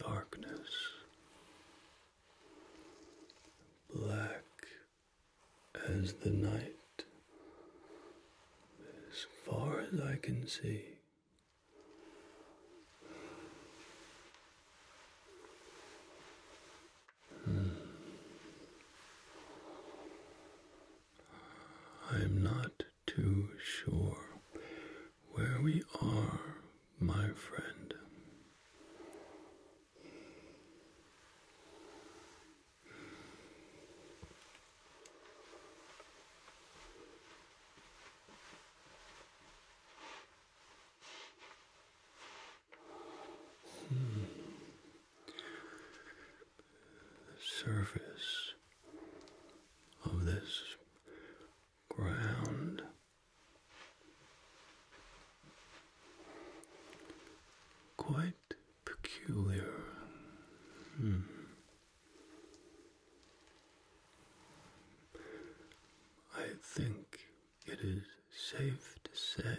darkness, black as the night, as far as I can see. Hmm. I'm not too sure where we are, my friend. Hmm. The surface of this ground. Quite peculiar. Hmm. I think it is safe to say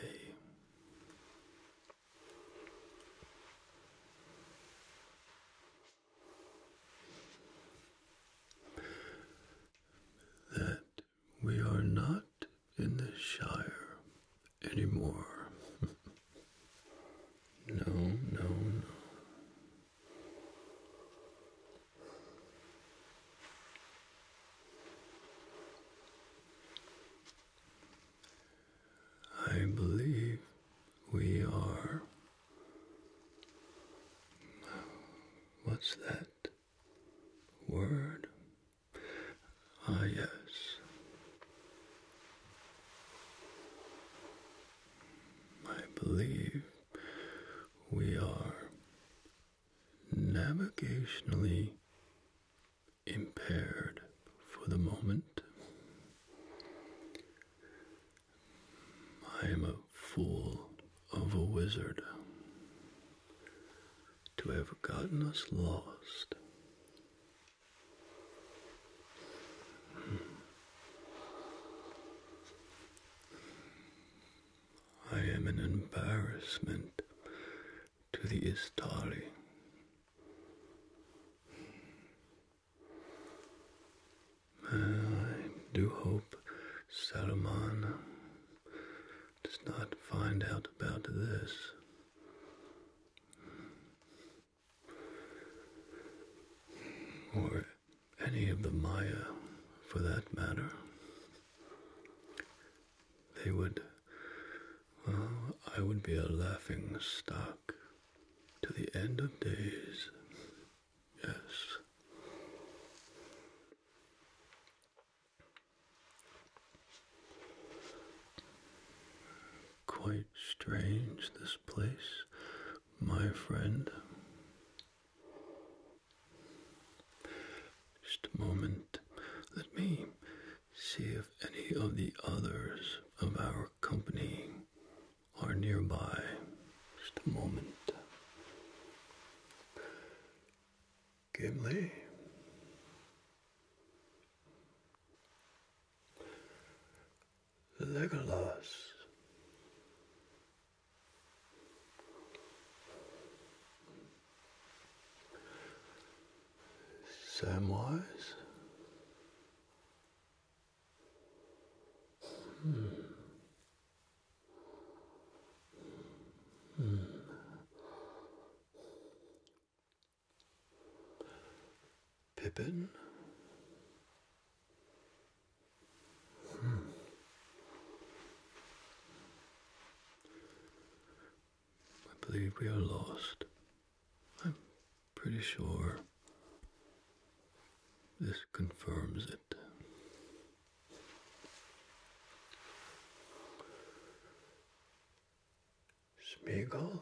that we are not in the Shire anymore. no, no, no. I believe we are What's that word? Ah, yes. I believe we are navigationally impaired for the moment. I am a fool of a wizard to have gotten us lost. Hmm. I am an embarrassment to the Istali. I do hope Salomon does not find out about this. Or any of the Maya, for that matter. They would. Well, I would be a laughing stock to the end of days. Yes. Quite strange, this place, my friend. Just a moment. Let me see if any of the others of our company are nearby. Just a moment. Gimli. Legolas. Samwise. Hmm. Pippin? Hmm. I believe we are lost. I'm pretty sure this confirms it. Spiegel,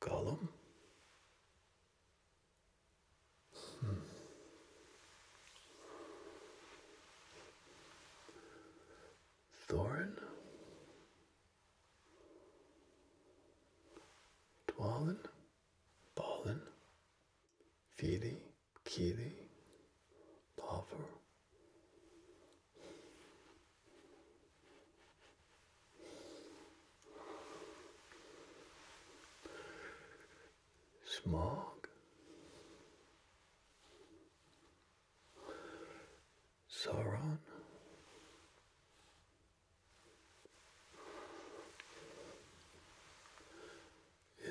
column. Hmm. Thorin, Dwalin, Ballen, Feely, Keely, Lover. Smog, Sauron,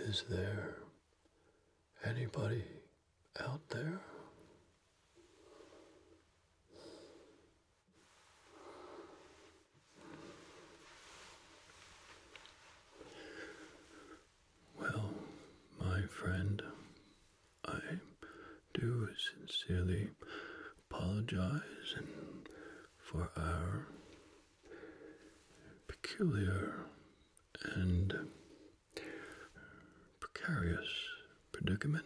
is there anybody out there? Well, my friend, I do sincerely apologize for our peculiar and precarious predicament.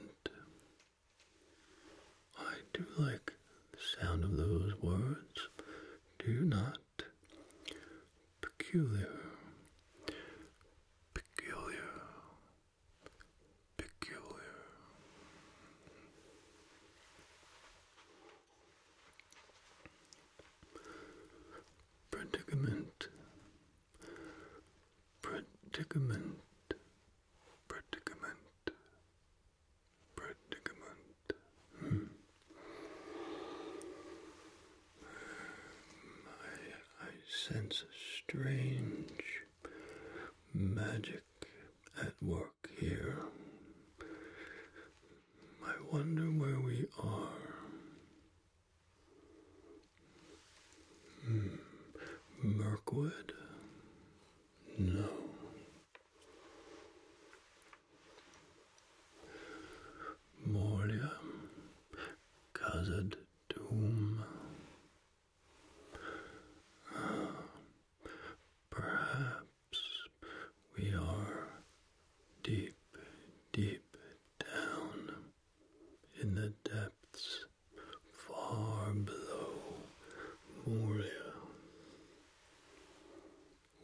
I do like the sound of those words, do you not? Peculiar, peculiar, peculiar. Predicament, predicament, predicament, predicament. I, hmm. I sense a strange magic at work here. I wonder where we are. Hmm. No. Moria? Khazad Doom? Ah. perhaps we are deep, deep down in the depths far below Moria,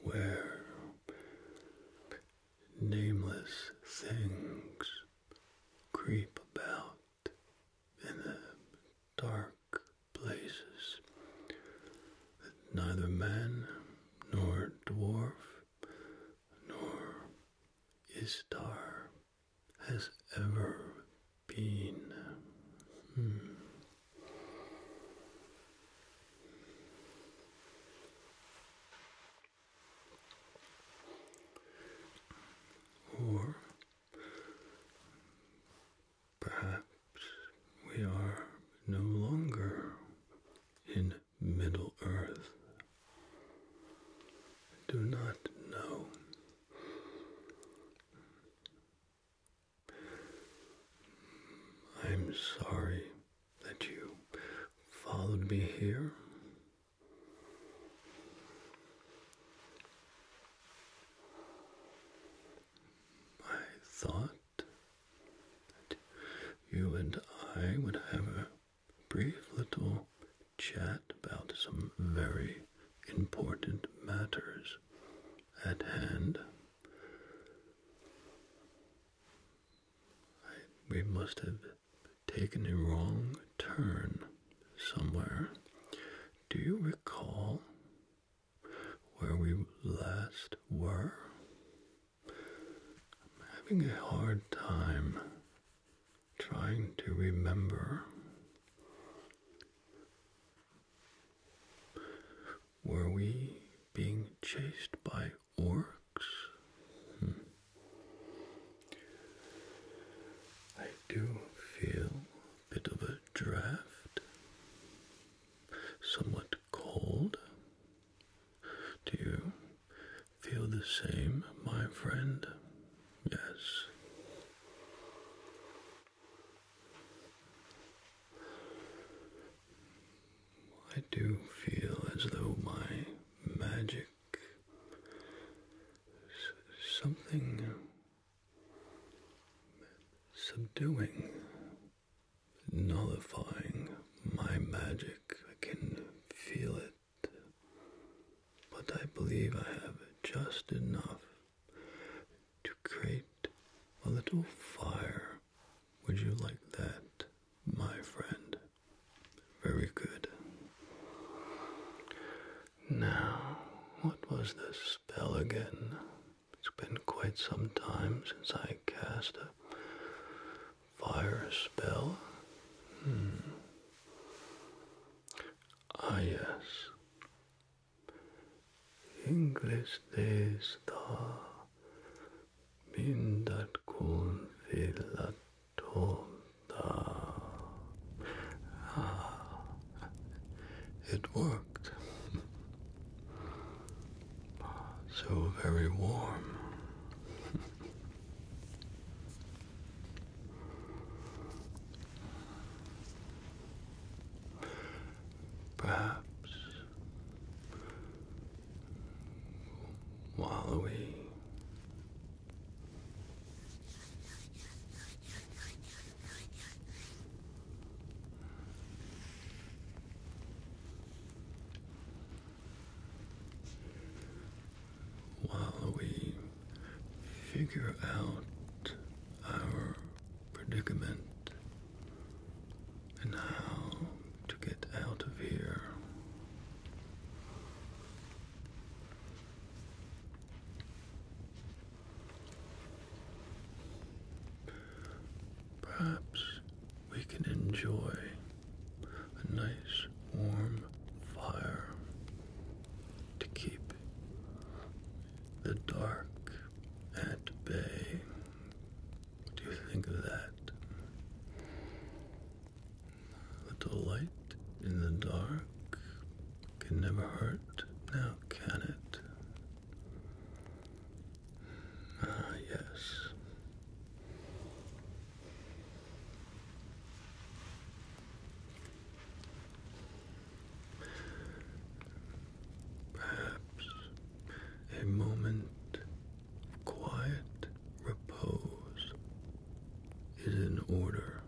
where nameless things creep about in the dark places that neither man nor dwarf nor Istar has ever been. Hmm. Or Perhaps we are no longer in Middle Earth. do not know. I'm sorry that you followed me here. I thought that you and I would have a brief little chat about some very important matters at hand. we must have taken a wrong turn somewhere. Do you recall where we last were. I'm having a hard time trying to remember were we being chased by orcs? Hmm. I do feel a bit of a draft somewhat cold. Do you feel the same, my friend? Yes. I do feel as though my magic something subduing nullifying my magic. I can feel it, but I believe I have just enough to create a little fire. Would you like that, my friend? Very good. Now, what was the spell again? It's been quite some time since I cast a fire spell. Hmm. Ah, yes. English days star min dat kun Ah, it worked so very warm. Perhaps wallowy. While we figure out our predicament and how to get out of here. Perhaps we can enjoy a nice warm fire to keep the dark at bay. What do you think of that? A delight in the dark can never hurt, now can it? Ah, yes. Perhaps a moment of quiet repose is in order.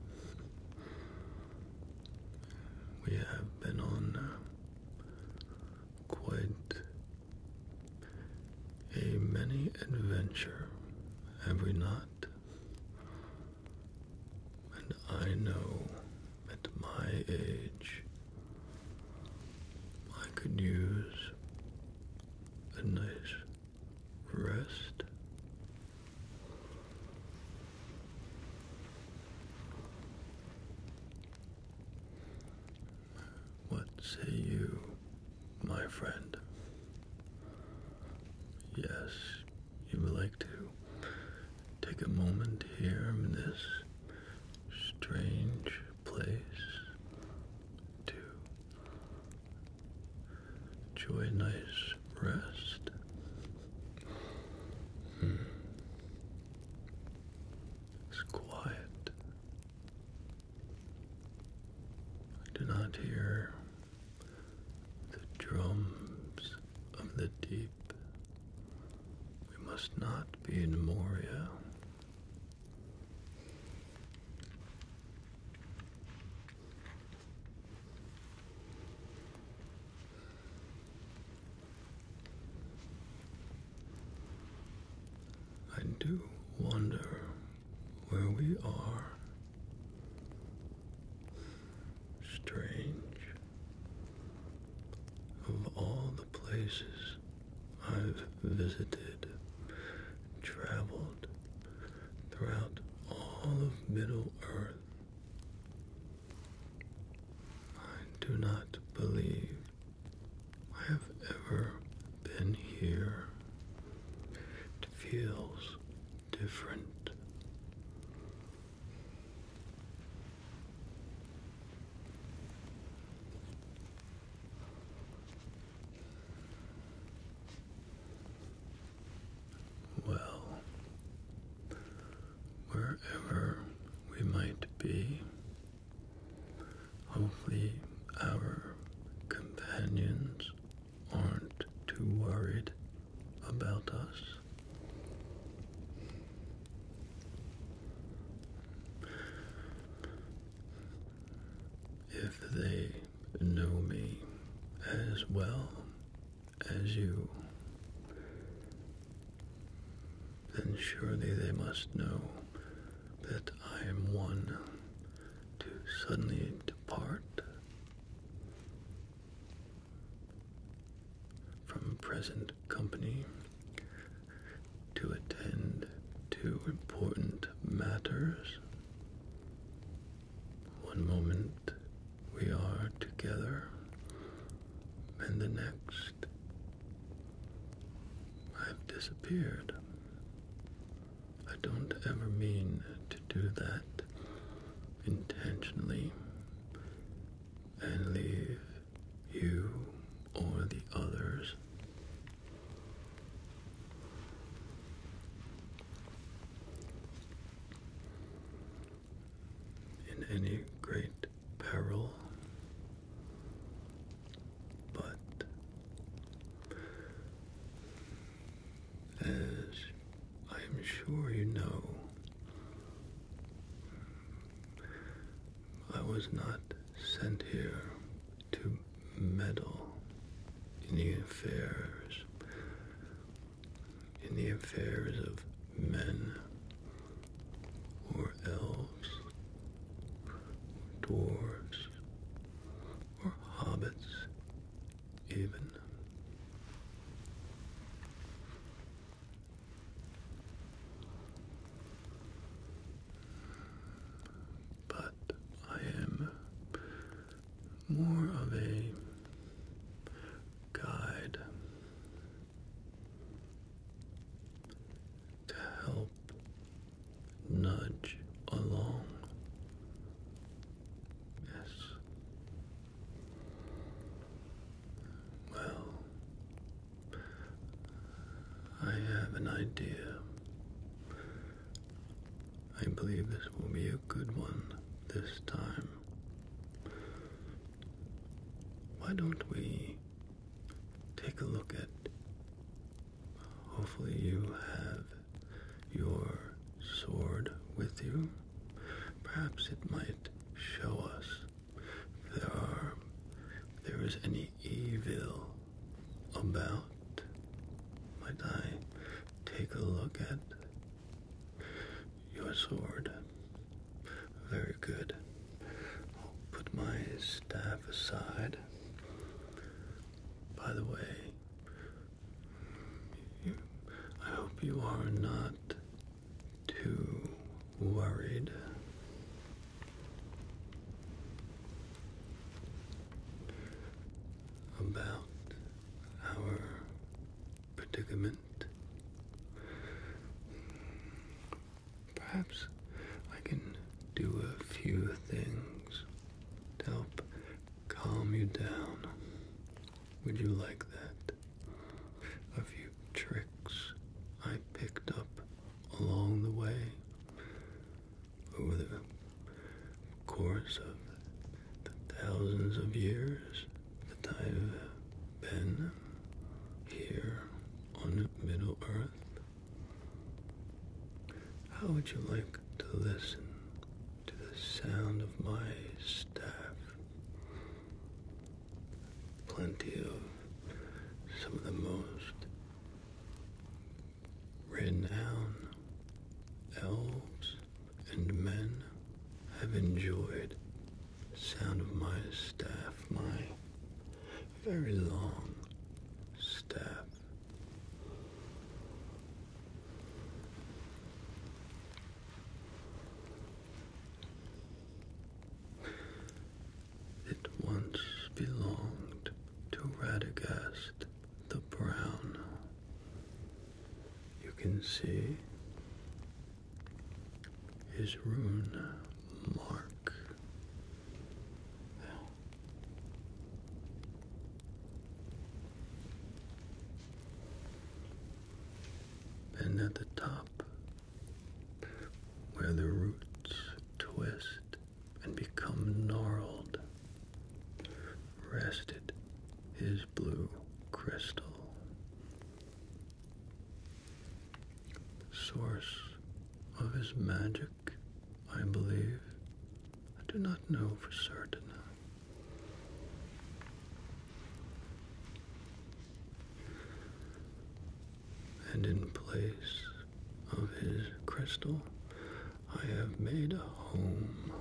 We have been on uh, quite a many adventure have we not? and I know at my age I could use a nice rest. What say you, my friend? Yes, you would like to take a moment here in this strange place to enjoy nice rest. Hmm. It's quiet. I do not hear the drums of the deep. We must not be in Moria. I do wonder where we are. Strange. Of all the places I've visited, traveled throughout all of Middle Earth, I do not believe I have ever been here. It feels different. Well, wherever we might be, Hopefully, our companions aren't too worried about us. If they know me as well as you, then surely they must know that I am one to suddenly depart from present company to attend to important matters. One moment we are together, and the next. I've disappeared. I don't ever mean to do that intentionally and leave you or the others. In any great peril, but as I am sure you know, I was not sent here to meddle in the affairs in the affairs of men or elves, dwarves, or hobbits, even. But I am more of a guide to help nudge along. Yes. Well, I have an idea. I believe this will be a good one this time. Why don't we take a look at. Hopefully, you have your sword with you. Perhaps it might show us there are there is any evil about. Might I take a look at your sword? Very good. I'll put my staff Aside, By the way, I hope you are not too worried. About our predicament, Perhaps I can do a few things to help calm you down. Would you like that? A few tricks I picked up along the way over the course of thousands of years that I've been here on Middle Earth. How would you like to listen to the sound of my staff? Plenty of some of the most renowned elves and men have enjoyed the sound of my staff, my very long staff. It once belonged to Radagast the Brown. You can see his rune mark. And at the top, where the roots twist and become gnarled, rested his blue crystal. Source of his magic I believe. I do not know for certain. And in place of his crystal, I have made a home.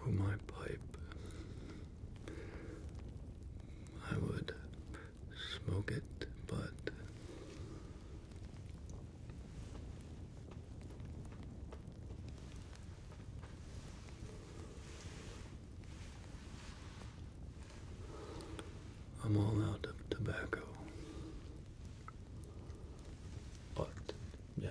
For my pipe, I would smoke it, but I'm all out of tobacco. But, yes.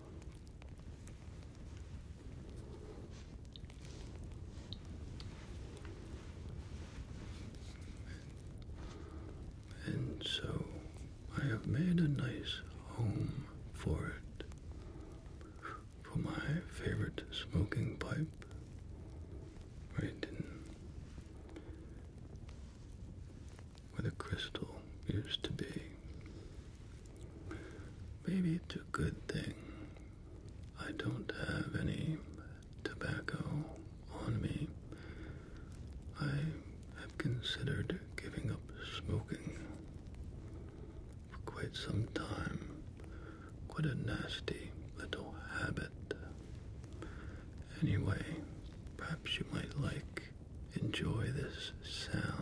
And so I have made a nice home for it. For my favorite smoking pipe, right in where the crystal used to be. Maybe it's a good thing I don't have any tobacco on me. I have considered giving up smoking for quite some time. Quite a nasty little habit. Anyway, perhaps you might like enjoy this sound.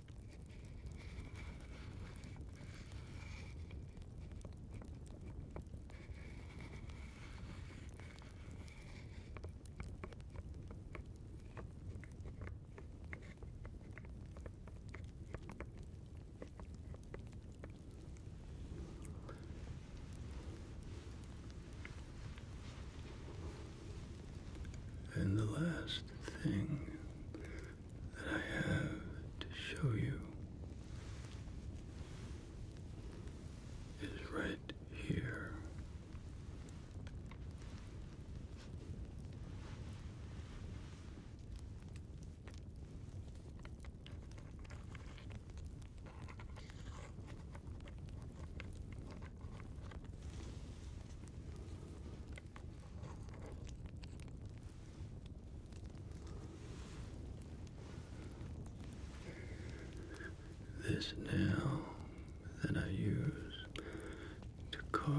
And the last thing that I have to show you is right here. This nail that I use to carve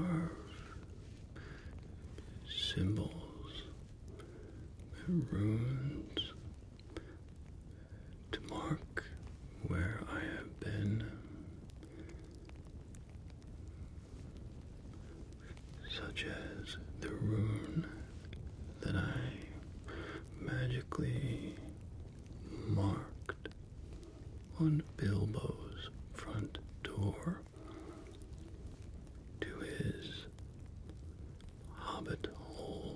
symbols and runes to mark where I have been such as the rune that I magically marked on Bilbo's front door to his hobbit hole.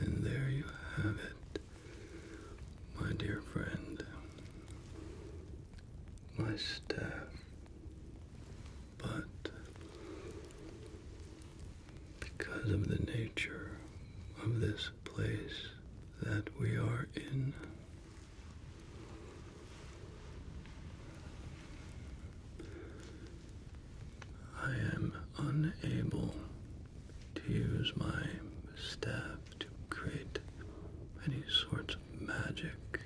And there you have it my dear friend, my staff, but because of the nature of this place that we are in. I am unable to use my staff to create any sorts of magic.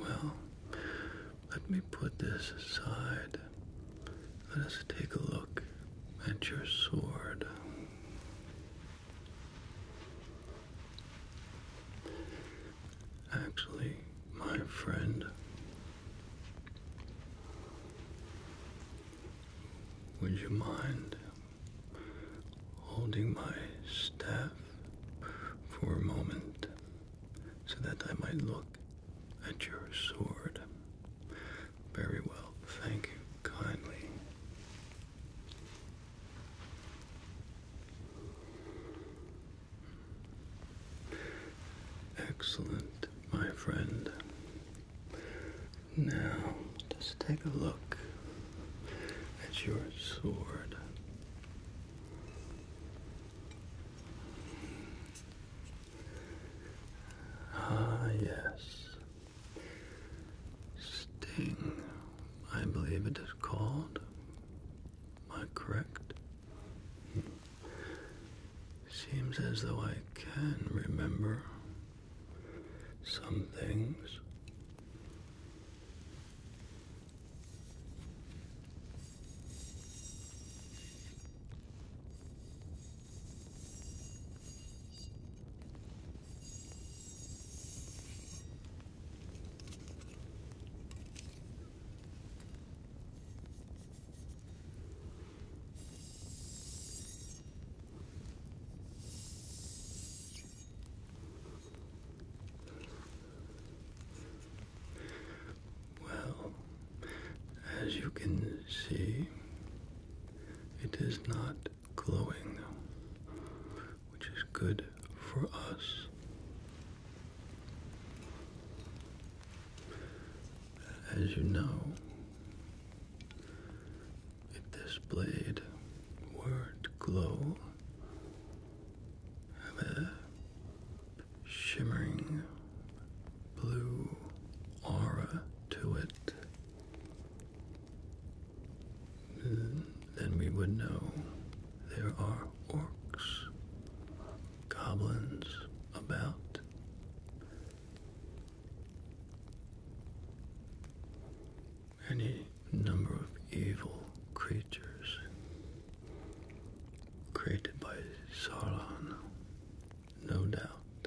Well, let me put this aside. Let us take a look at your sword. Actually, my friend, would you mind holding my staff for a moment so that I might look at your sword? Very well, thank you kindly. Excellent, my friend. Now, just take a look at your sword. Ah, yes. Sting, I believe it is called. Am I correct? Hmm. Seems as though I can remember some things. Well, as you can see, it is not glowing, which is good for us. As you know, if this blade were to glow, have a shimmering blue aura to it, then we would know there are orcs, goblins about, any number of evil creatures created by Saran, no doubt.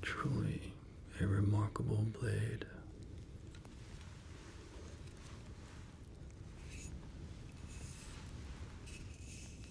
Truly a remarkable blade.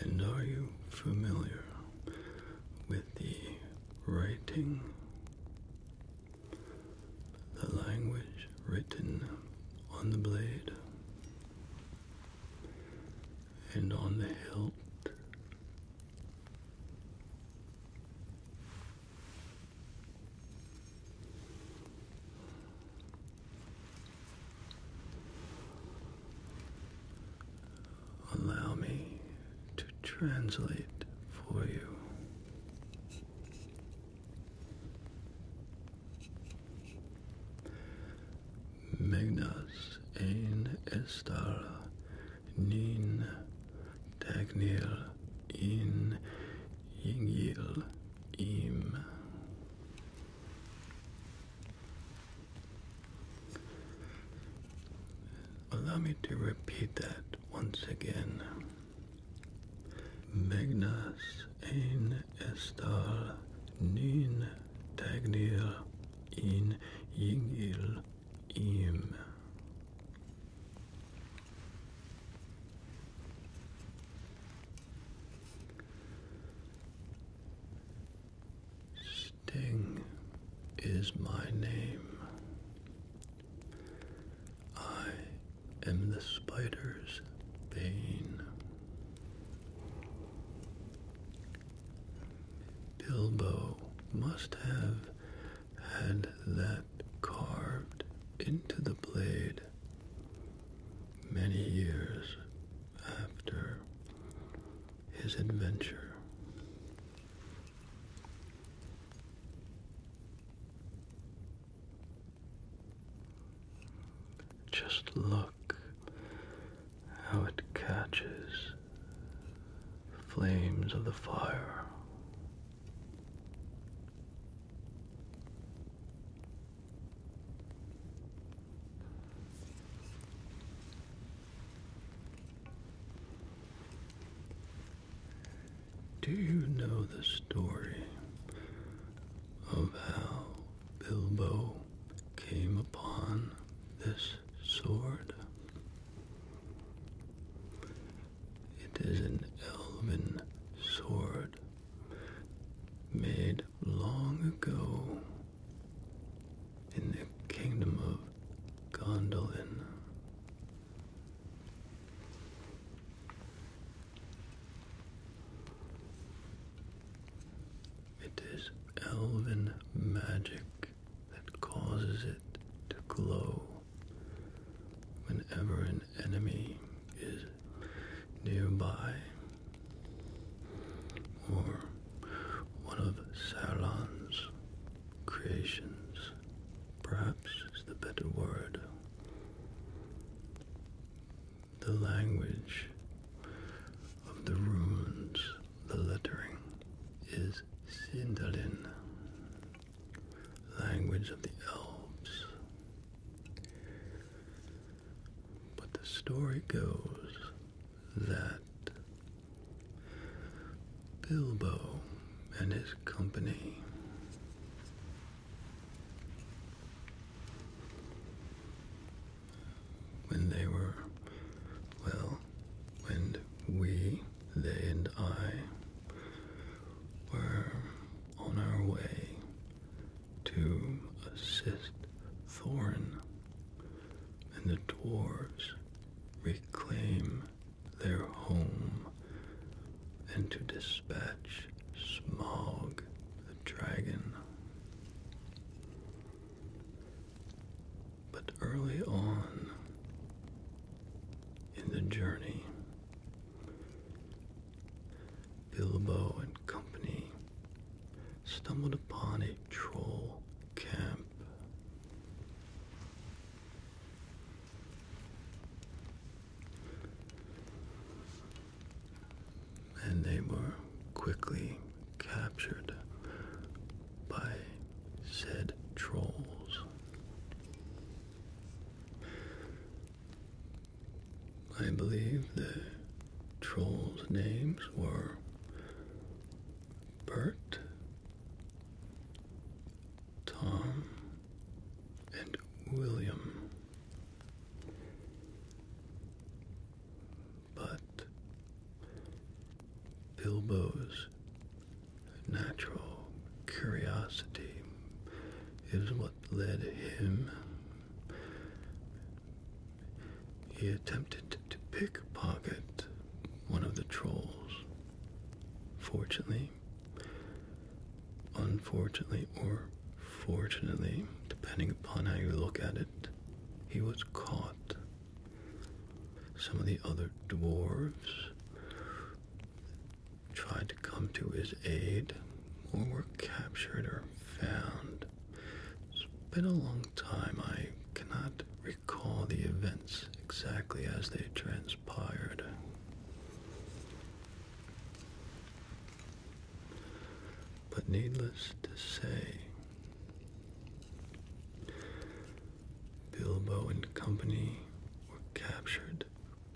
And are you familiar with the writing? The language written on the blade and on the hilt. Allow me to translate for you. Magnus ein estar nin tagnir in yingil im. Allow me to repeat that once again. Magnus ein estar nin Dagnir in Yingil Im. Sting is my name. I am the spider's bane. Bilbo must have had that carved into the blade many years after his adventure. Just look how it catches the flames of the fire. Do you know the story of how Bilbo came upon this sword. It is an elven sword made long ago in the kingdom of Gondolin. It is elven magic that causes it to glow. Whenever an enemy is nearby, or one of Sauron's creations, perhaps is the better word. The language of the runes, the lettering is Sindalin, language of the elves. But the story goes that Bilbo and his company when they were, well, when we, they and I, were on our way to assist Thorin and the dwarves reclaim their home and to dispatch Smaug, the dragon. But early on in the journey, Bilbo and company stumbled upon a troll camp. And they were quickly captured by said trolls. I believe the trolls' names were Bert, Tom, and William but Bilbo's natural curiosity is what led him. He attempted to pickpocket one of the trolls. Fortunately, unfortunately, or fortunately, depending upon how you look at it, he was caught some of the other dwarves tried to come to his aid or were captured or found. It's been a long time. I cannot recall the events exactly as they transpired. But needless to say, Bilbo and company were captured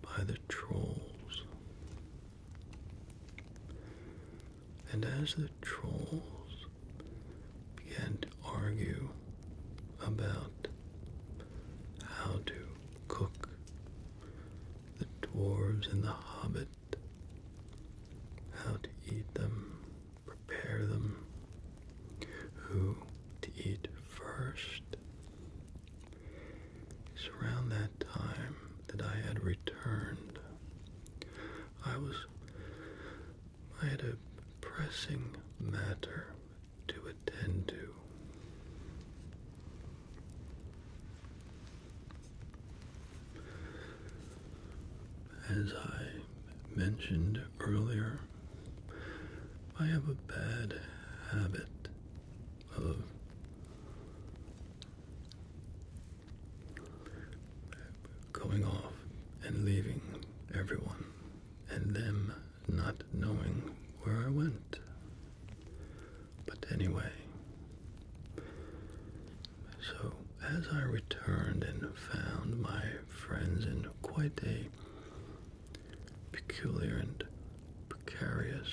by the trolls. And as the trolls began to argue about how to cook the dwarves and the hobbit, how to eat them prepare them, who to eat first. It's around that time that I had returned. I was I had a pressing matter to attend to. As I mentioned earlier, I have a bad habit of going off and leaving everyone and them not knowing where I went. But anyway, so as I returned and found my friends in quite a peculiar and precarious,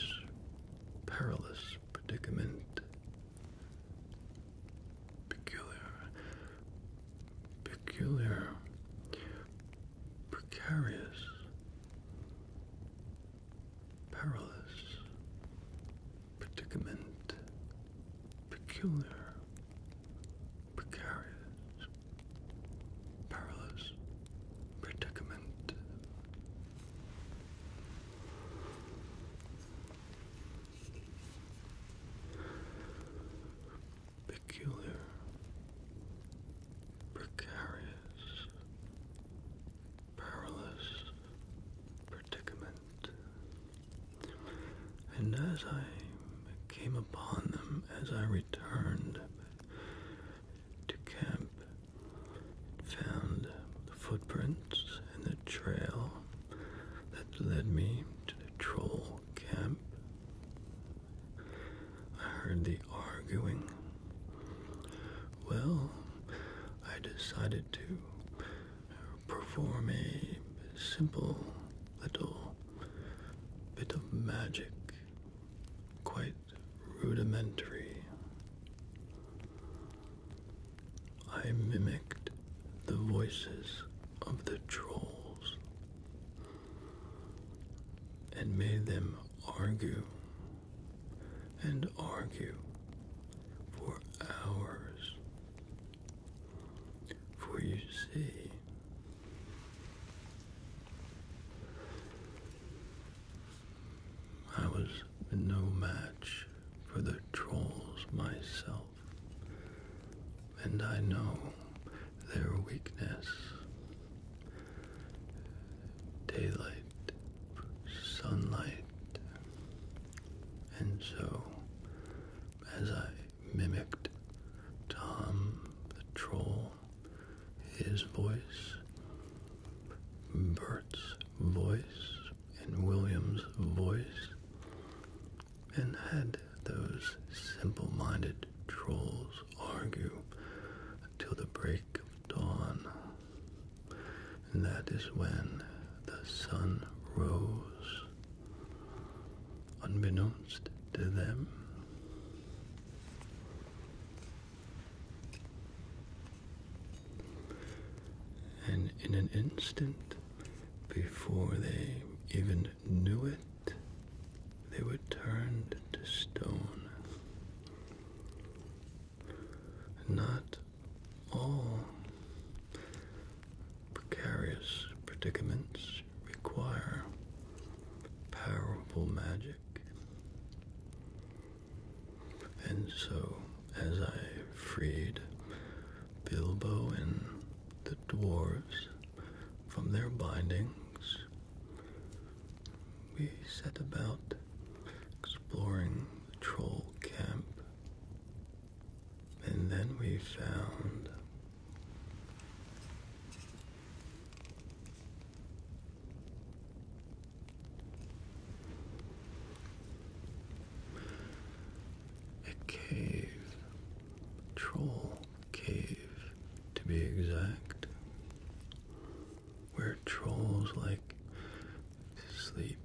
perilous predicament. Peculiar, peculiar, precarious, perilous predicament. Peculiar, precarious, perilous predicament. Peculiar, precarious, perilous predicament and as I came upon them as I returned to camp, found the footprints and the trail that led me to the troll camp. I heard the arguing. Well, I decided to perform a simple little bit of magic, quite rudimentary. I mimicked the voices of the trolls and made them argue and argue for hours for you see, I was no match for the trolls myself, and I know their weakness. Daylight, sunlight, and so as I mimicked Tom the Troll, his voice, Bert's voice, and William's voice, and had those simple minded trolls argue till the break of dawn. And that is when the sun rose unbeknownst to them. And in an instant, before they even knew it, they were turned to stone. Not all precarious predicaments require powerful magic. And so, as I freed Bilbo and the dwarves from their bindings, we set about exploring the troll camp. And then we found a cave, troll cave to be exact, where trolls like sleep,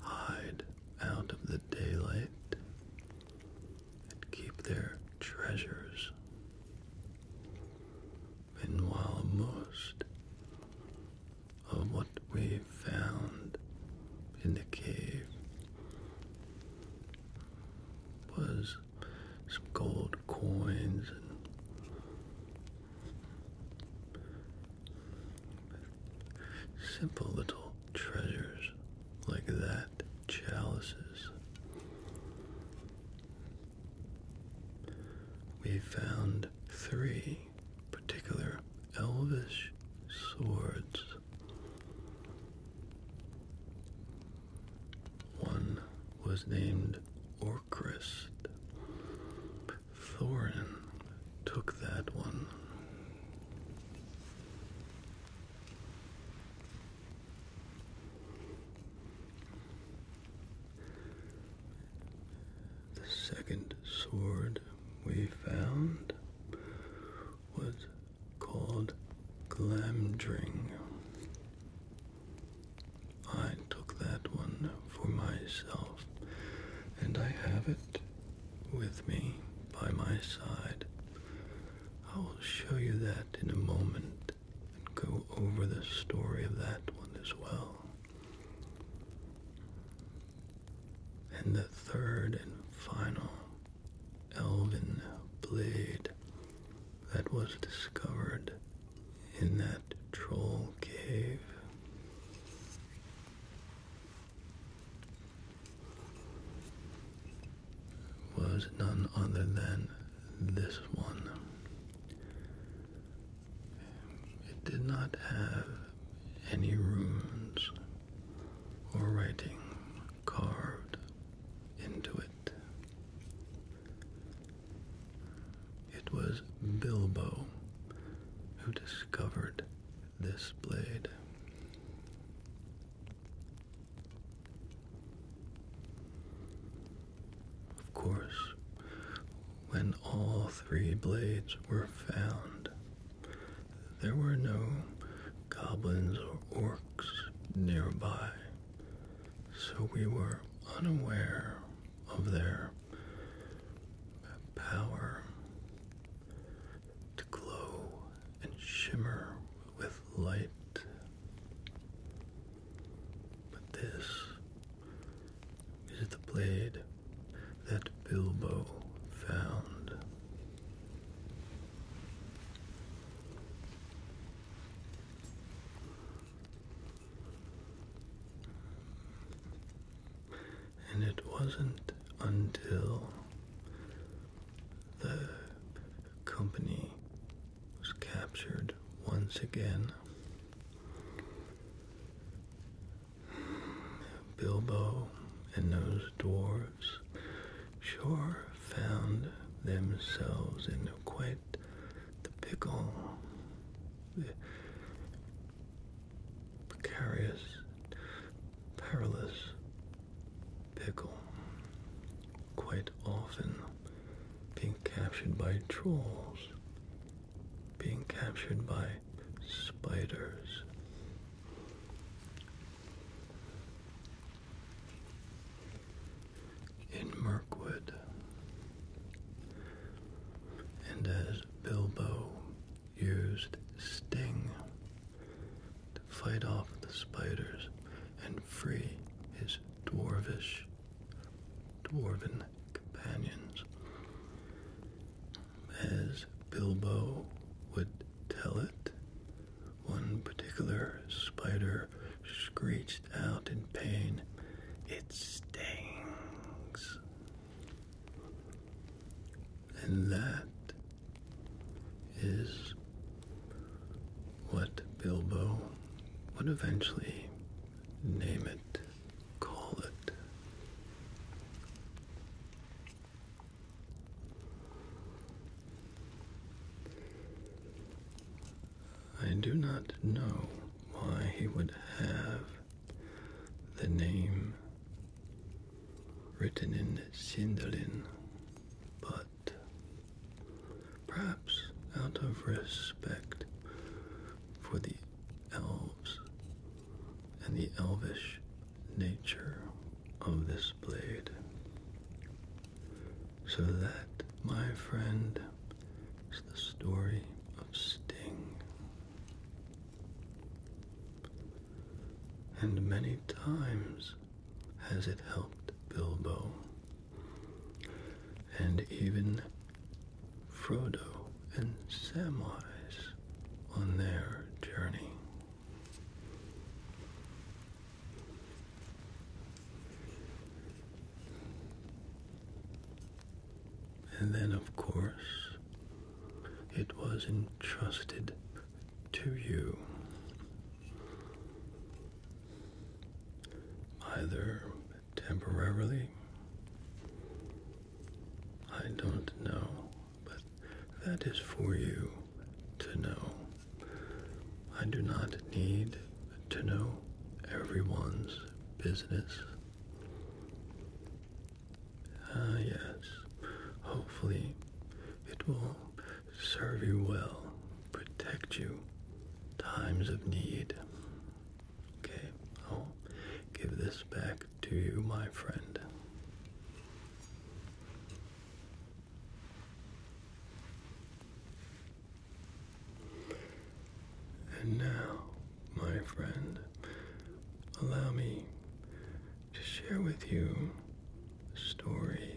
hide out of the daylight, and keep their treasures. Meanwhile, most of what we found in the cave was some gold coins and simple little treasures like that, chalices. We found three particular elvish swords. One was named Orcrist. Thorin took that one. The second sword we found was called Glamdring. I took that one for myself, and I have it with me by my side I will show you that in a moment and go over the story of that one as well. And the third and final elven blade that was discovered in that troll cave was none other than this one. It did not have any runes or writing carved into it. It was Bilbo who discovered this blade. Of course, when all three blades were found, there were no goblins or orcs nearby, so we were unaware of their power to glow and shimmer with light. But this is the blade that Bilbo found. And it wasn't until the company was captured once again. Bilbo and those dwarves sure found themselves in quite the pickle. precarious, perilous pickle. Quite often being captured by trolls, being captured by spiders. In Mirkwood, and as Bilbo used Sting to fight off the spiders and free his dwarvish, dwarven companions. As Bilbo would tell it, one particular spider screeched out in pain, It stings. And that is what Bilbo would eventually name it, call it. I do not know why he would have the name written in Sindarin, but perhaps out of respect for the elves and the elvish nature of this blade. So that, my friend, is the story of Sting. And many times has it helped Bilbo. And even Frodo and Samwise on their journey. And then, of course, it was entrusted to you Either temporarily, I don't know, but that is for you to know. I do not need to know everyone's business. Ah, yes, hopefully it will serve you well, protect you times of need. Okay, i give this back to you, my friend. And now, my friend, allow me to share with you a story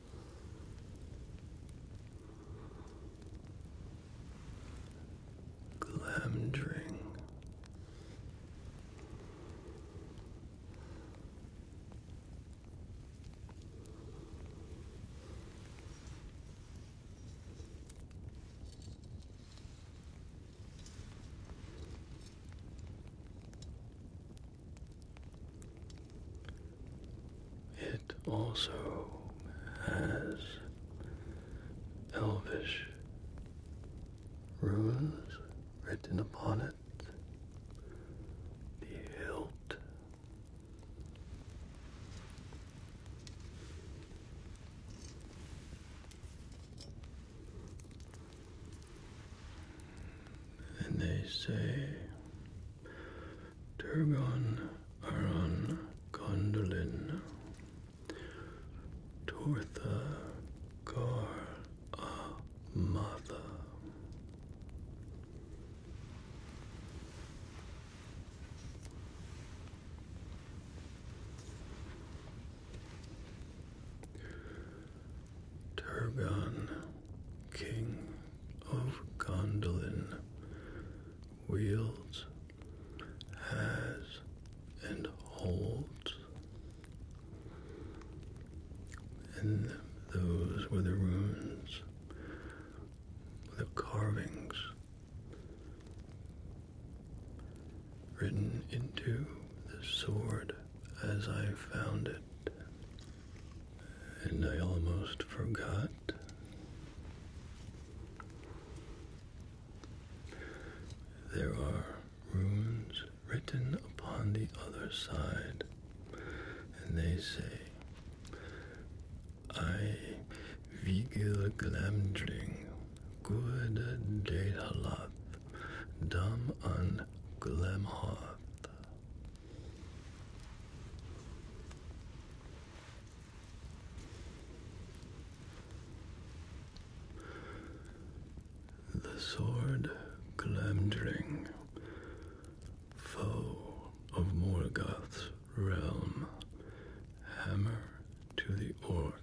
Glamdring. It also has elvish runes written upon it. The hilt and they say Turgon, Aran, Gondolin, Tortha, Gar, Amatha. Turgon, King of Gondolin, wields, has, and holds. And those were the runes, the carvings written into the sword as I found it. And I almost forgot. There are runes written upon the other side, and they say, I vigil glamdring, good dataloth, dum on glamhoth. The sword Glamdring, foe of Morgoth's realm, hammer to the orcs.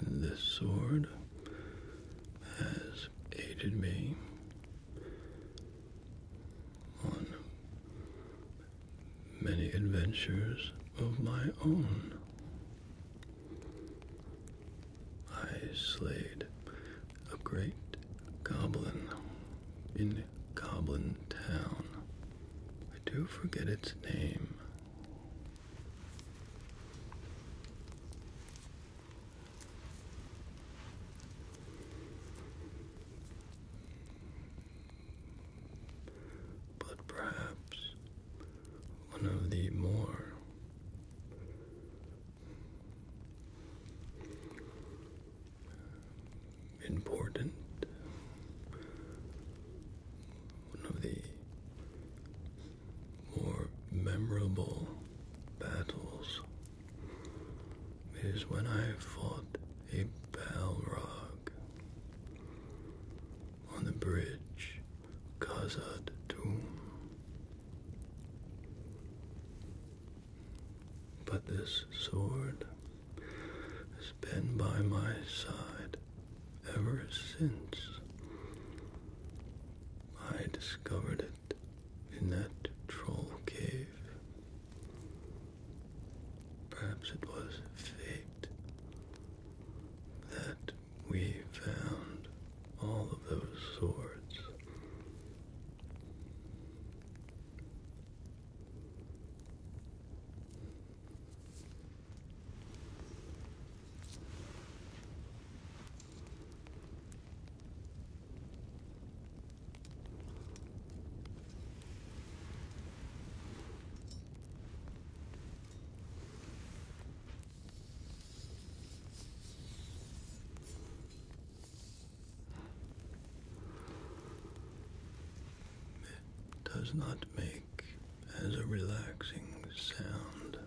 The sword has aided me on many adventures of my own. I slayed a great goblin in Goblin Town. I do forget its name. But perhaps one of the more important, one of the more memorable battles is when I fought a Balrog on the bridge Khazad doom, But this sword has been by my side ever since I discovered it in that troll cave. Perhaps it was fate that we found all of those swords. It does not make as a relaxing sound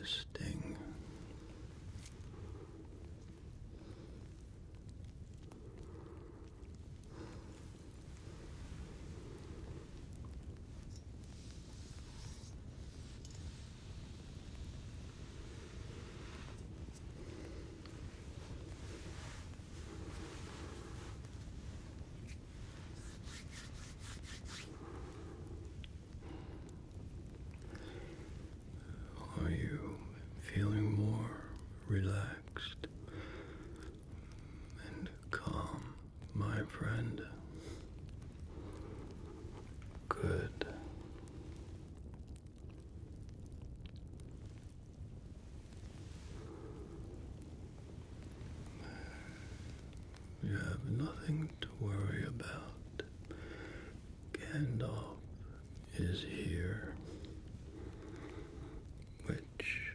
as sting. Are you feeling more relaxed? and calm, my friend. Good. You have nothing to worry about. Gandalf is here, which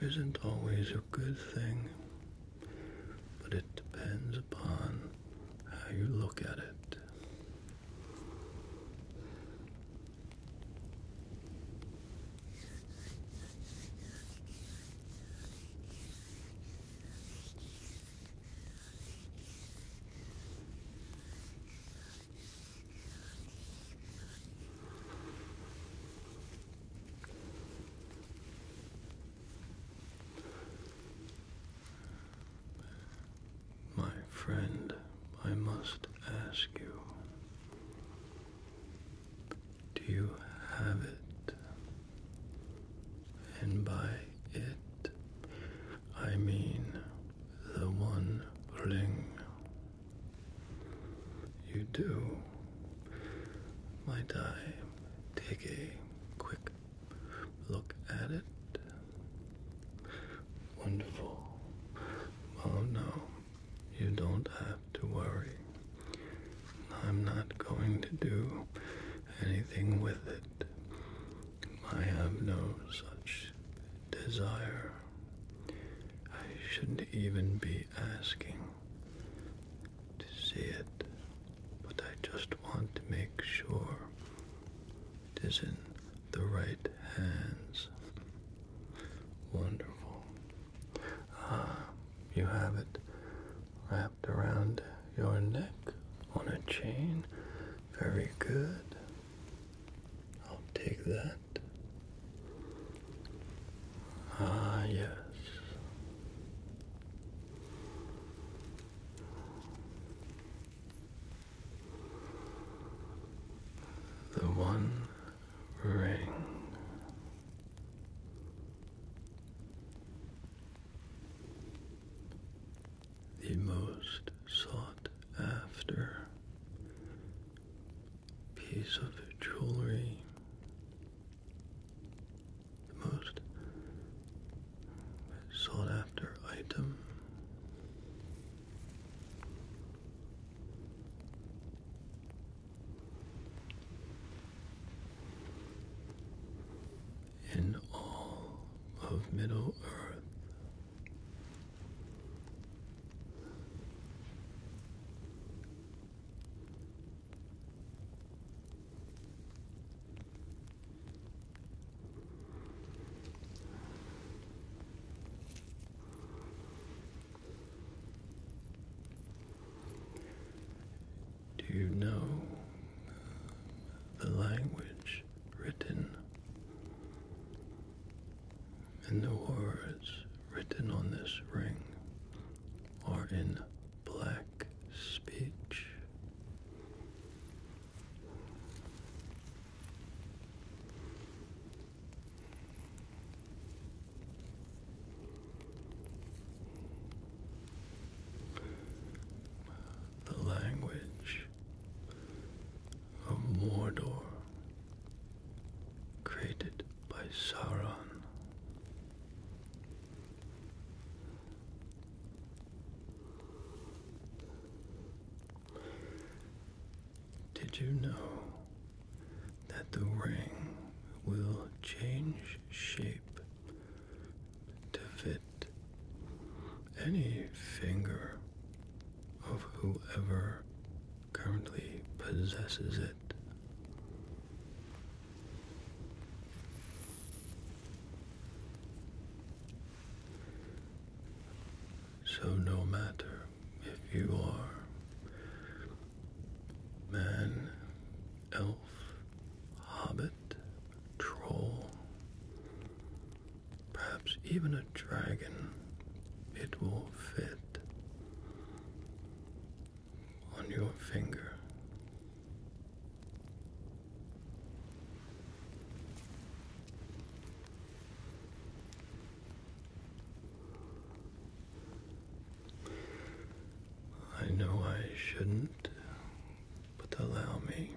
isn't always a good thing but it depends upon how you look at it. My friend, I must ask you do you have it? And by it, I mean the one ring. You do, my die take a quick look at it. Wonderful. Well, no, you don't have to worry. I'm not going to do anything with it. I have no such desire. I shouldn't even be asking to see it, but I just want to make sure it is in the right hands. Wonderful. Ah, you have it wrapped around your neck on a chain. Very good. I'll take that. Ah, yes. The one ring. The most sought after piece of jewelry the most sought after item. In all of Middle Earth. Do you know uh, the language written and the words written on this ring are in black speech. The language of Mordor, created by Sauron, did you know that the ring will change shape to fit any finger of whoever currently possesses it? So, no matter if you are man, elf, hobbit, troll, perhaps even a dragon, it will fit on your finger. I know I shouldn't, but allow me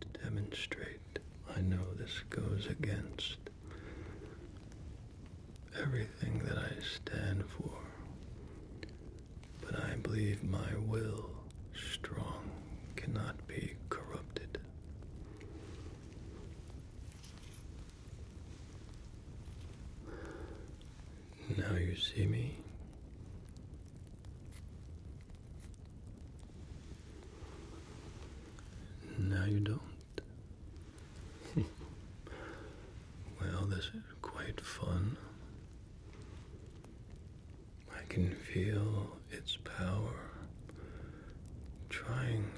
to demonstrate. I know this goes against everything that I stand for but I believe my will, strong, cannot be corrupted. Now you see me. Now you don't. well, this is quite fun. I can feel its power trying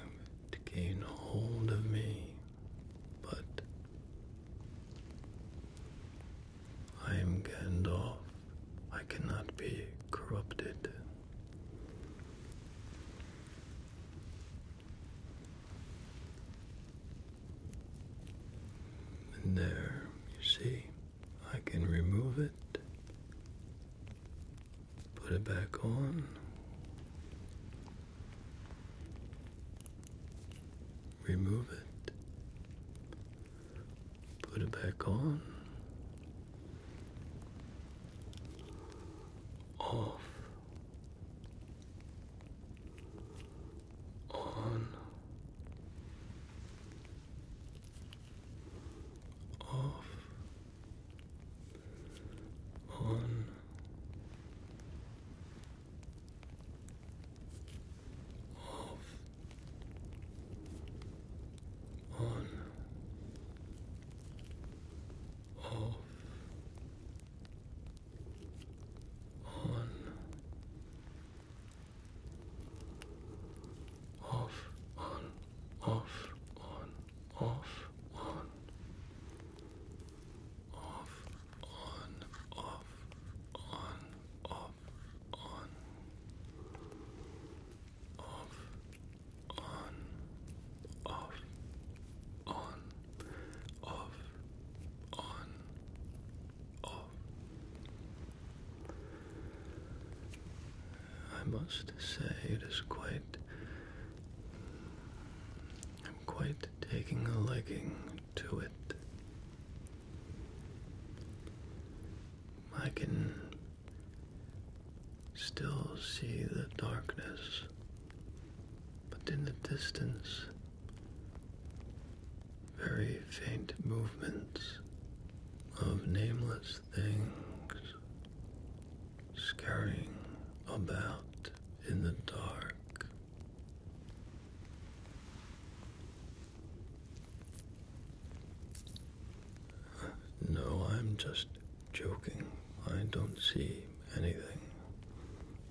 to gain hold of me, but I am Gandalf. I cannot be corrupted. And there, you see, I can remove it, put it back on, remove it, put it back on, off. On off, on, off, on, off, on off, on, off, on, off, on, off, on, off, on, off, on, off, on, off, on, off, on, off. I must say it is quite. I'm quite taking a liking to it. I can still see the darkness, but in the distance very faint movements of nameless things scurrying about in the dark. No, I'm just joking. I don't see anything.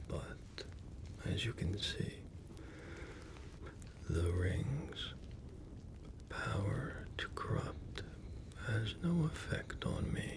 But as you can see, the rings. Power to corrupt has no effect on me.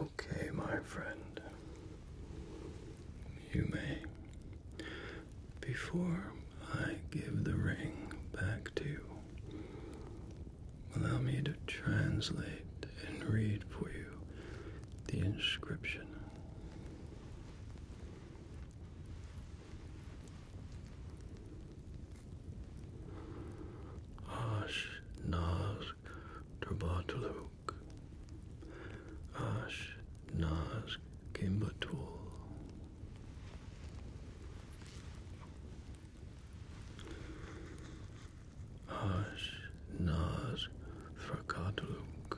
Okay, my friend, you may before I give the ring back to you. Allow me to translate and read for you the inscription. Ash Naz Darbataluk. Ash Naz Kimbertool. Ash Nas Frakatluk.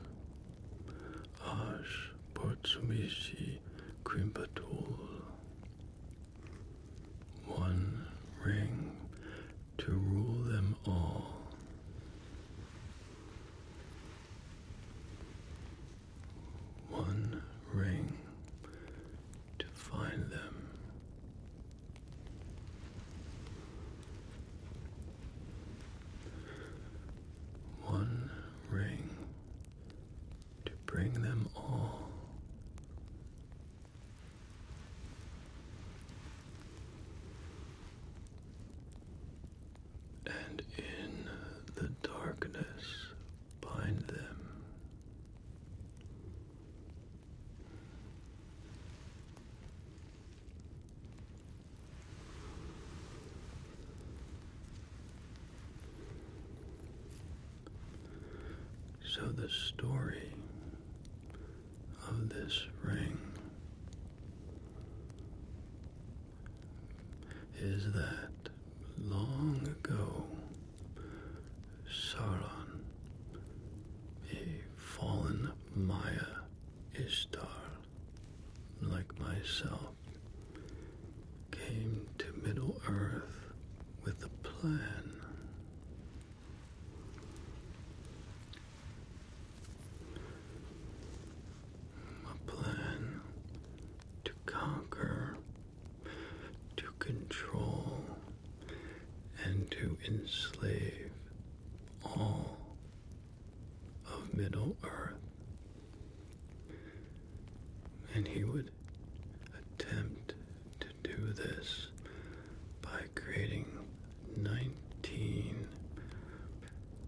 Ash Portsumishi Krimpatul. One ring to rule them all one ring to find them. One ring to bring them all and in the darkness bind them. So, the story of this ring is that long ago Sauron, a fallen Maya Ishtar, like myself, came to Middle Earth with a plan a plan to conquer, to control, and to enslave all of Middle Earth. And he would attempt to do this by creating 19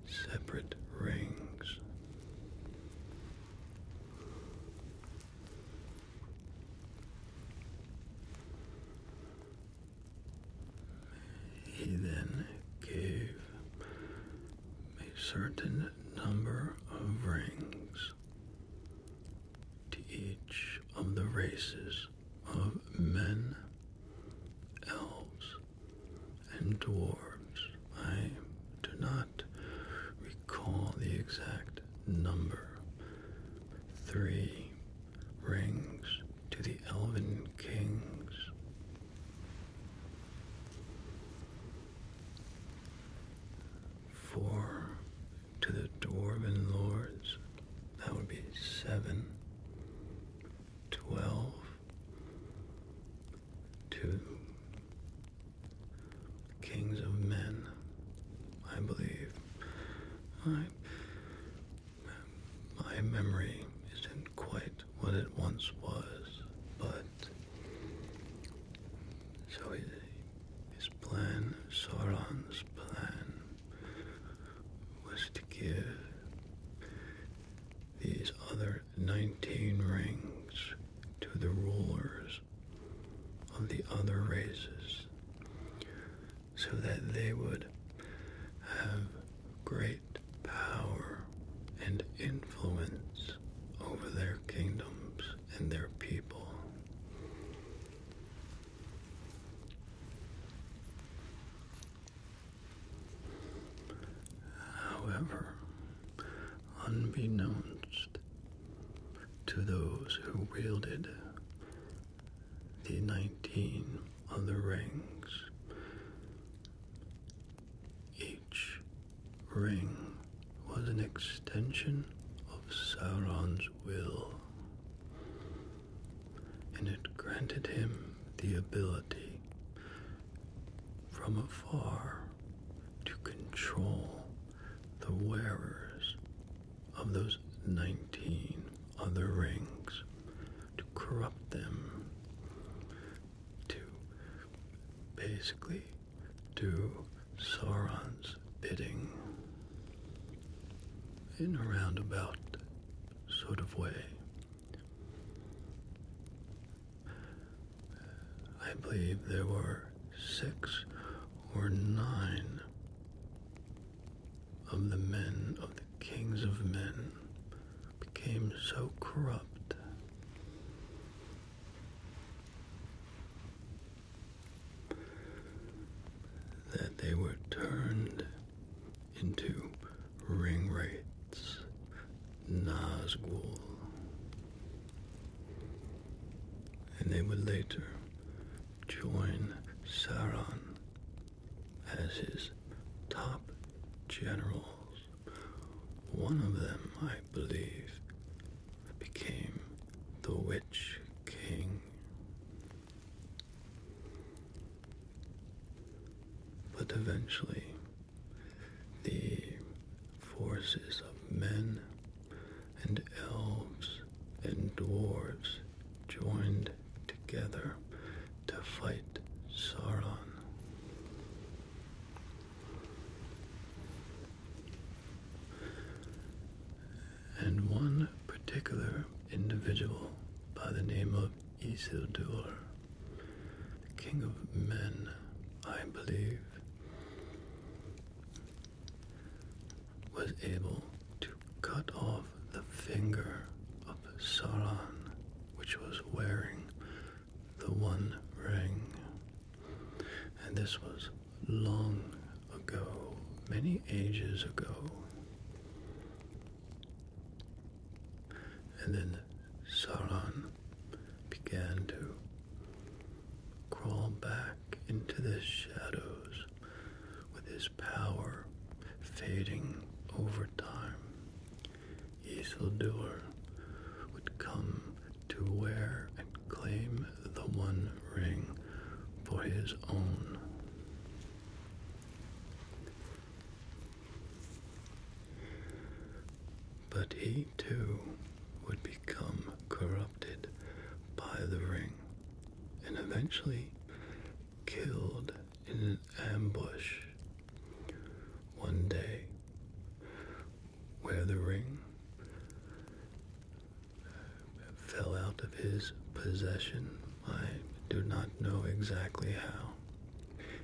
separate rings he then gave a certain number of rings to each of the races of men, elves, and dwarves. I do not recall the exact number. Three rings to the elven kings. Four to the dwarven lords. That would be seven. Twelve to kings of men, I believe. my memory isn't quite what it once was, but so his, his plan, Sauron's plan, was to give these other nineteen rings to the rulers of the other races, so that they would have great power and influence over their kingdoms and their people. However, unbeknownst to those who wielded the 19 other rings. Each ring was an extension of Sauron's will, and it granted him the ability from afar to control the wearers of those 19 other rings, to corrupt them, to basically do Sauron's bidding in a roundabout sort of way. I believe there were six or nine of the men of the kings of men became so corrupt that they were turned into ring rates Nazgul. And they would later join Sauron as his top generals. One of them, I believe, became the Witch King. But eventually, the forces of men and elves and dwarves joined together to fight Sauron. And one particular individual by the name of Isildur, king of men, I believe, was able to cut off the finger of Sauron, which was wearing the One Ring. And this was long ago, many ages ago. And then Sauron began to crawl back into the shadows with his power fading over time. Isildur would come to wear and claim the One Ring for his own. But he too would become corrupted by the ring and eventually killed in an ambush. One day, where the ring fell out of his possession, I do not know exactly how,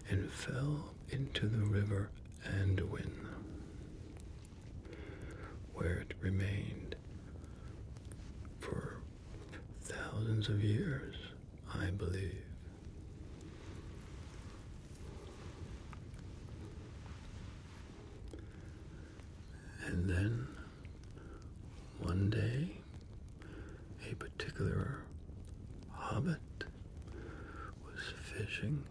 and fell into the river and where it remained for thousands of years, I believe. And then one day, a particular hobbit was fishing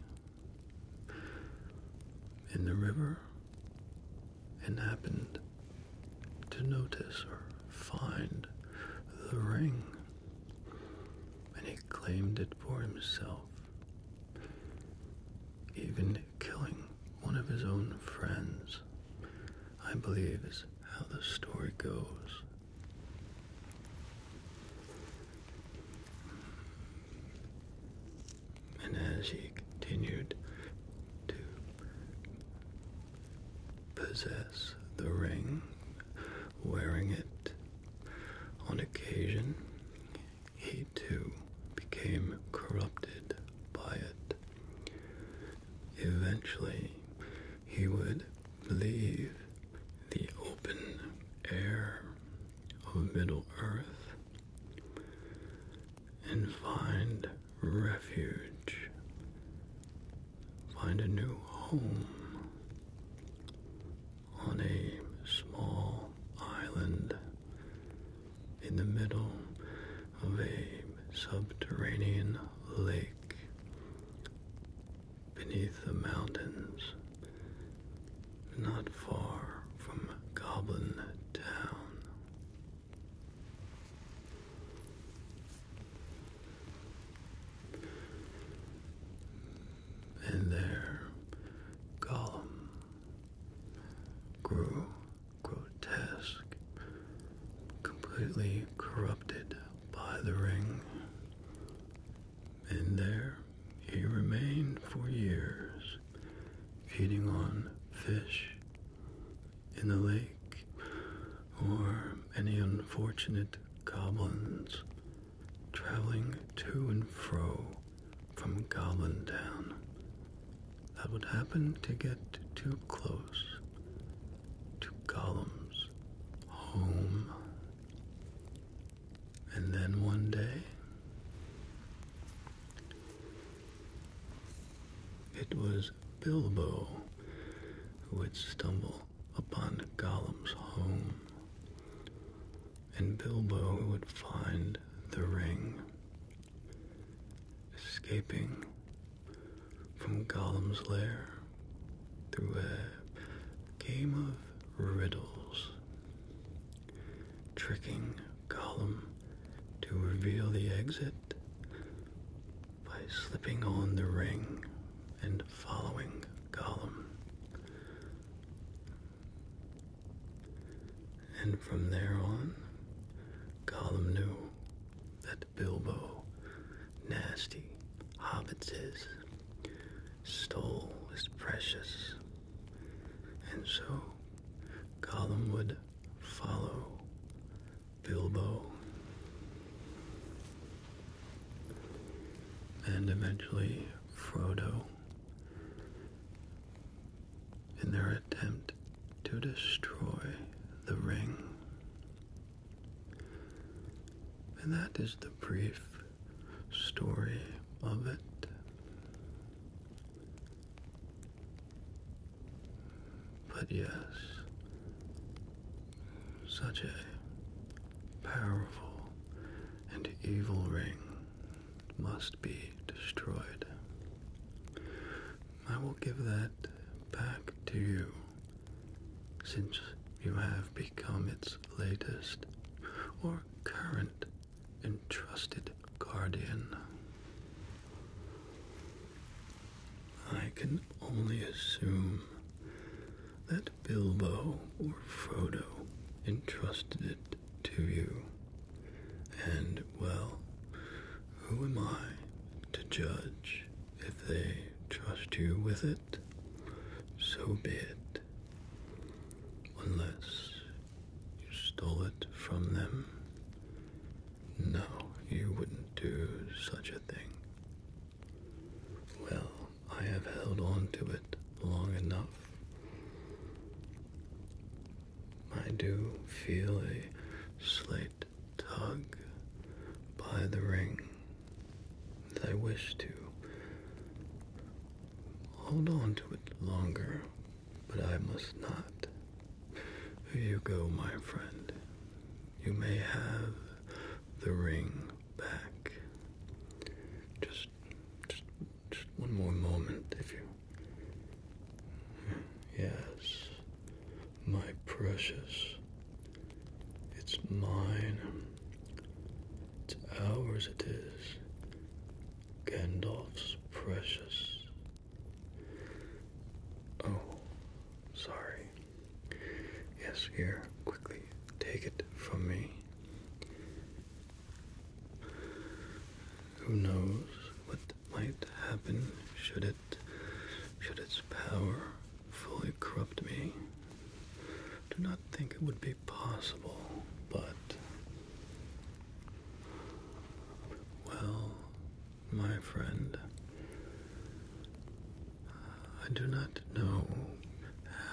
in the river and happened to notice or find the ring, and he claimed it for himself, even killing one of his own friends, I believe is how the story goes. And as he continued to possess the ring, wearing it on occasion, he too became corrupted by it. Eventually, he would leave the open air of Middle Earth and find refuge, find a new home on a small island in the middle of a subterranean lake beneath the mountains not far from Goblin Town. And there, Gollum grew grotesque, completely corrupted by the ring, and there he remained for years, feeding on fish in the lake or any unfortunate goblins traveling to and fro from Goblin Town. That would happen to get too close to Gollum's home. And then one day, it was Bilbo who would stumble upon Gollum's home, and Bilbo would find the ring, escaping from Gollum's lair through a game of riddles tricking Gollum to reveal the exit by slipping on the ring and following Gollum. And from there on, Gollum knew that Bilbo, nasty hobbits, is, stole is precious. And so Gollum would follow Bilbo. And eventually Frodo in their attempt to destroy the ring. And that is the brief story of it. But yes, such a powerful and evil ring must be destroyed. I will give that back to you since you have become its latest or current and trusted guardian. I can only assume that Bilbo or Frodo entrusted it to you. And, well, who am I to judge if they trust you with it? So be it. Unless you stole it from them? No, you wouldn't do such a thing. Well, I have held on to it long enough. I do feel a slight tug by the ring that I wish to hold on to it longer, but I must not. Here you go, my friend. You may have the ring back. Just, just, just one more moment, if you. Yes, my precious. It's mine. It's ours, it is. Gandalf's precious. Oh, sorry. Yes, here, quickly take it from me. Who knows what might happen should it should its power fully corrupt me? Do not think it would be possible, but. Well, my friend, I do not know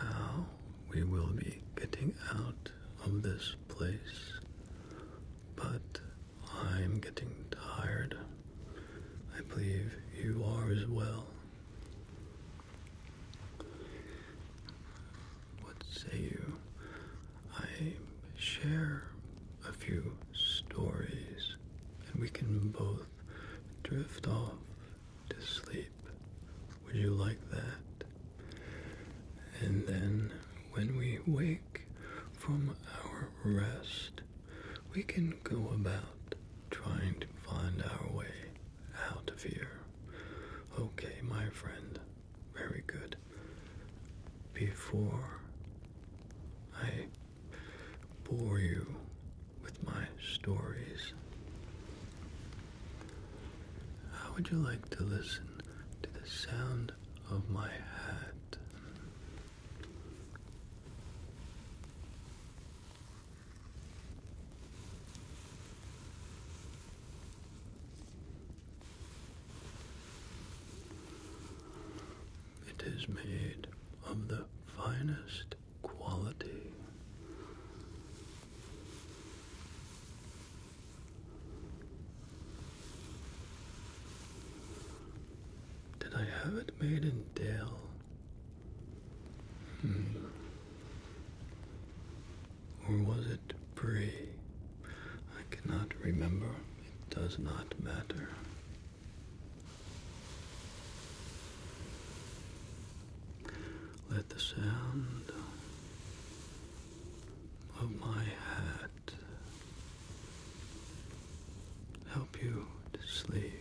how we will be getting out of this place, but I'm getting tired. I believe you are as well. What say you? I share a few stories, and we can both drift off to sleep. Would you like that? And then, when we wake from our rest, we can go about trying to find our way out of here. Okay, my friend very good. Before I bore you with my stories, how would you like to listen to the sound of my hat? It is made of the finest quality. Did I have it made in Dale? or was it pre? I cannot remember. It does not matter. Let the sound of my hat help you to sleep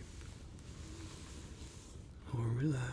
or relax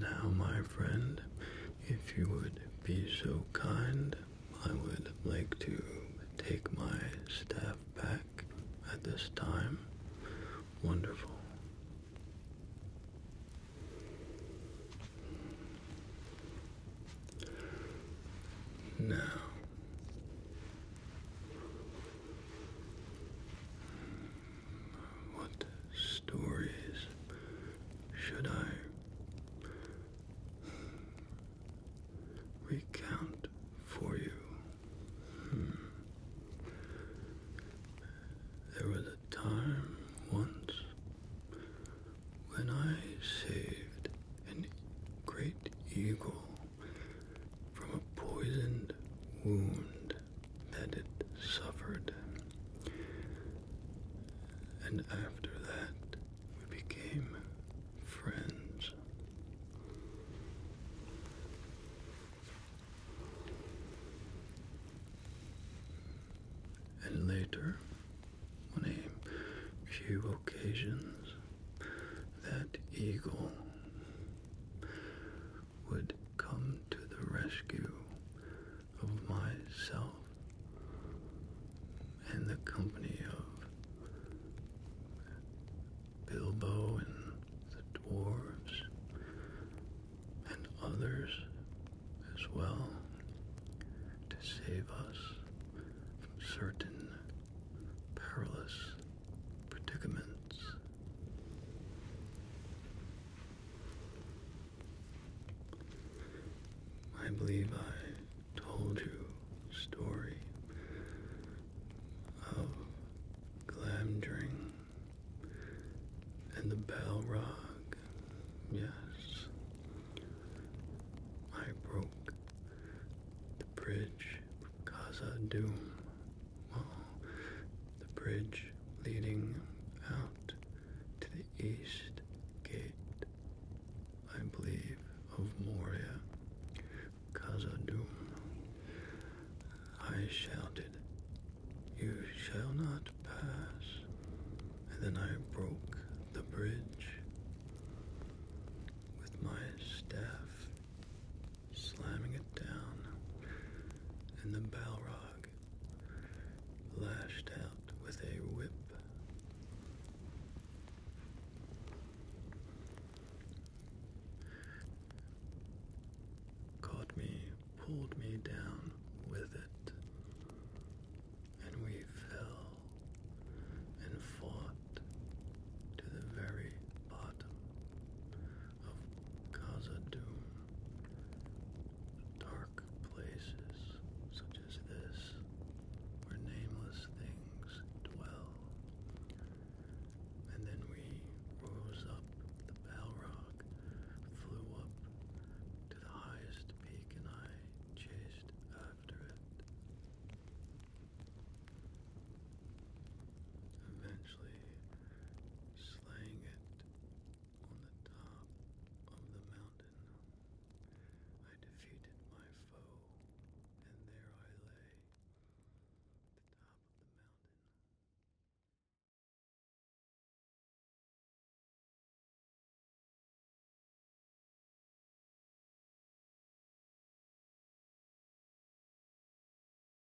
Now, my friend, if you would be so kind, I would like to take my staff back at this time. Wonderful. Now, what stories should I recount for you? Hmm. There was a time once when I saved a great eagle from a poisoned wound that it suffered. And after that, we became friends. And later, on a few occasions, that eagle would come to the rescue of myself and the company of Bilbo and the dwarves and others as well to save us from certain perilous predicaments. I believe I told you story of Glamdring and the Balrog. Yes, I broke the bridge Khazad Doom the bridge leading out to the east gate, I believe, of Moria, khazad I shouted, You shall not pass, and then I broke the bridge with my staff slamming it down, and the Balrog lashed out with a whip. Caught me, pulled me down with it, and we fell and fought to the very bottom of Gaza Doom. Dark places such as this, where nameless things dwell. And then we rose up the Balrog, flew up to the highest peak, and I chased after it. Eventually, slaying it on the top of the mountain. I defeated my foe, and there I lay the top of the mountain.